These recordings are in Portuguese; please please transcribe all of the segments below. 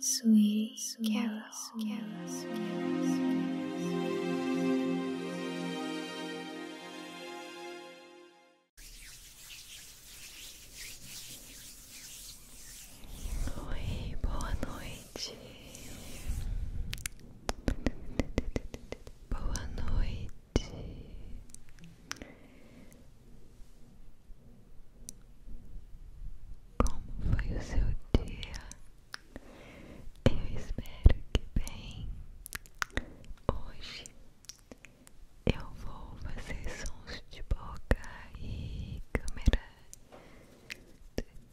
Sweet, sweet Carol. Carol, sweet, Oi, boa noite. Boa noite. Como foi o seu dia? Eu espero que bem. Hoje eu vou fazer sons de boca e câmera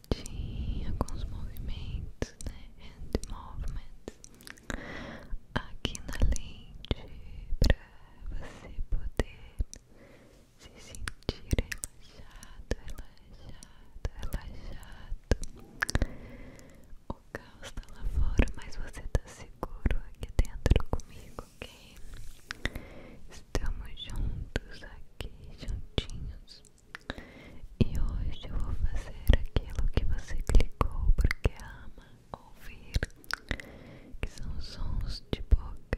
tudinho alguns movimentos, né? And movements aqui na lente pra você poder se sentir relaxado, relaxado, relaxado. O caos tá lá fora, mas você tá seguro aqui dentro comigo, ok? Estamos juntos aqui, juntinhos. E hoje eu vou fazer aquilo que você clicou porque ama ouvir, que são sons de boca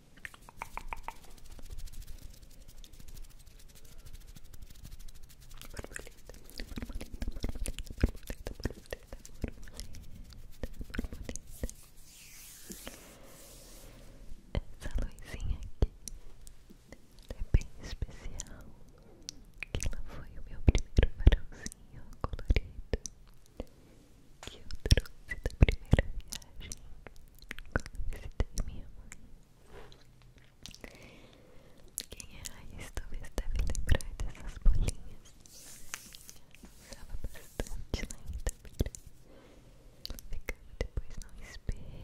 Essa luzinha aqui é bem especial. Que ela foi o meu primeiro farolzinho colorido que eu trouxe da primeira viagem quando visitei minha mãe. Quem é raiz talvez deve lembrar dessas bolinhas. Usava bastante na Itabira. Ficava depois no espelho.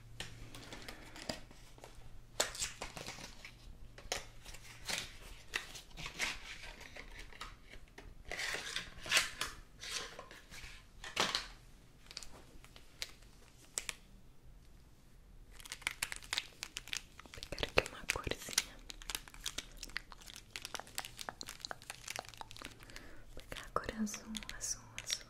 Vou pegar aqui uma corzinha. pegar a cor azul, azul, azul.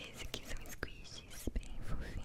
Esse aqui são squishes bem fofinhos.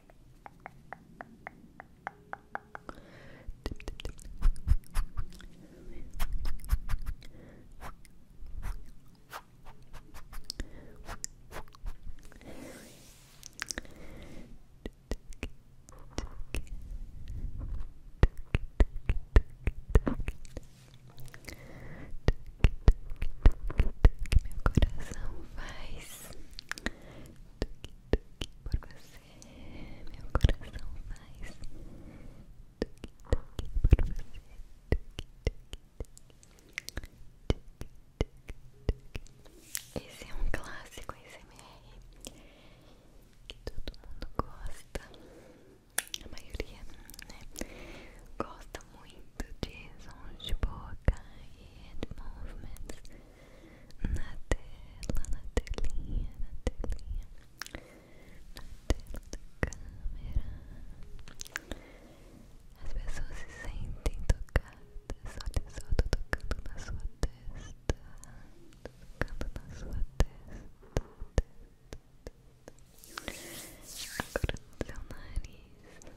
Meu coração faz Tuque, tuque por você, meu coração faz Tuque, tuque por você tuque, tuque, tuque. Esse é um clássico ASMR é que todo mundo gosta a maioria, né? Gosta muito de sons de boca head movements na tela, na telinha, na telinha, na tela da câmera. As pessoas se sentem tocadas, olha só, tô tocando na sua testa, tocando na sua testa, testa, testa. agora no seu nariz,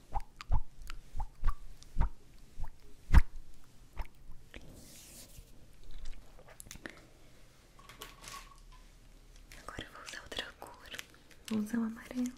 Agora vou usar outra cor, vou usar o amarelo.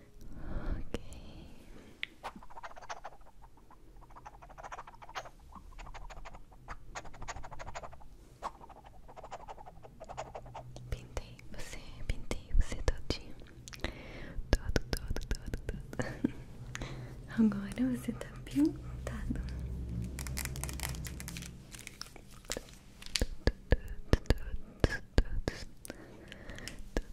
Ok. Pintei você, pintei você todinho. Todo, todo, todo, todo. Agora você tá pintado. Todos, todos, todos,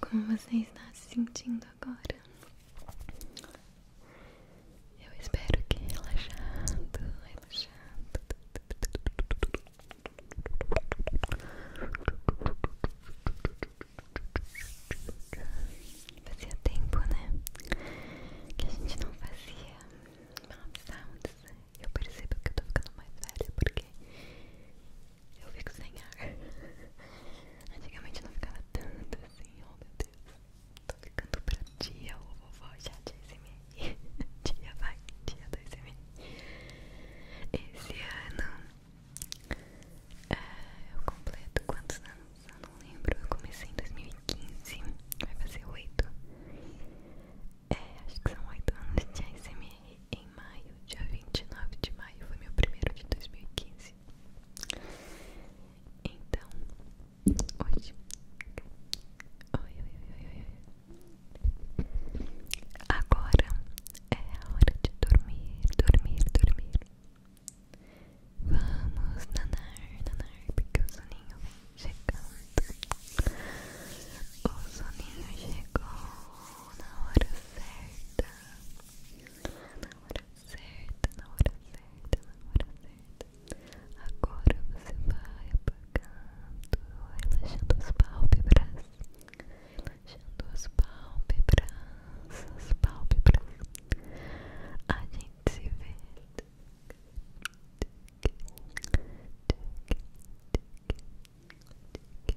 Como você está se sentindo agora? Eu espero que relaxado, relaxado. Fazia tempo, né? Que a gente não fazia mouth sounds. Eu percebo que eu tô ficando mais velha porque eu fico sem ar. Antigamente não ficava tanto assim, oh meu Deus. Tô ficando pra dia ou vovó já de SMR. Tia vai, dia do SMR. Esse ano é, eu completo quantos anos? Eu não lembro. Eu comecei em 2015, vai fazer 8. É, acho que são 8 anos de ASMR em maio, dia 29 de maio foi meu primeiro de 2015 então, hoje. Agora é a hora de dormir, dormir, dormir. Vamos nanar, nanar, porque o soninho vem chegando. O soninho chegou na hora certa na hora certa, na hora certa, na hora certa. Agora você vai apagando, relaxando as pálpebras, relaxando as pálpebras, as pálpebras. A gente se vê. Tic, tic, tic, tic,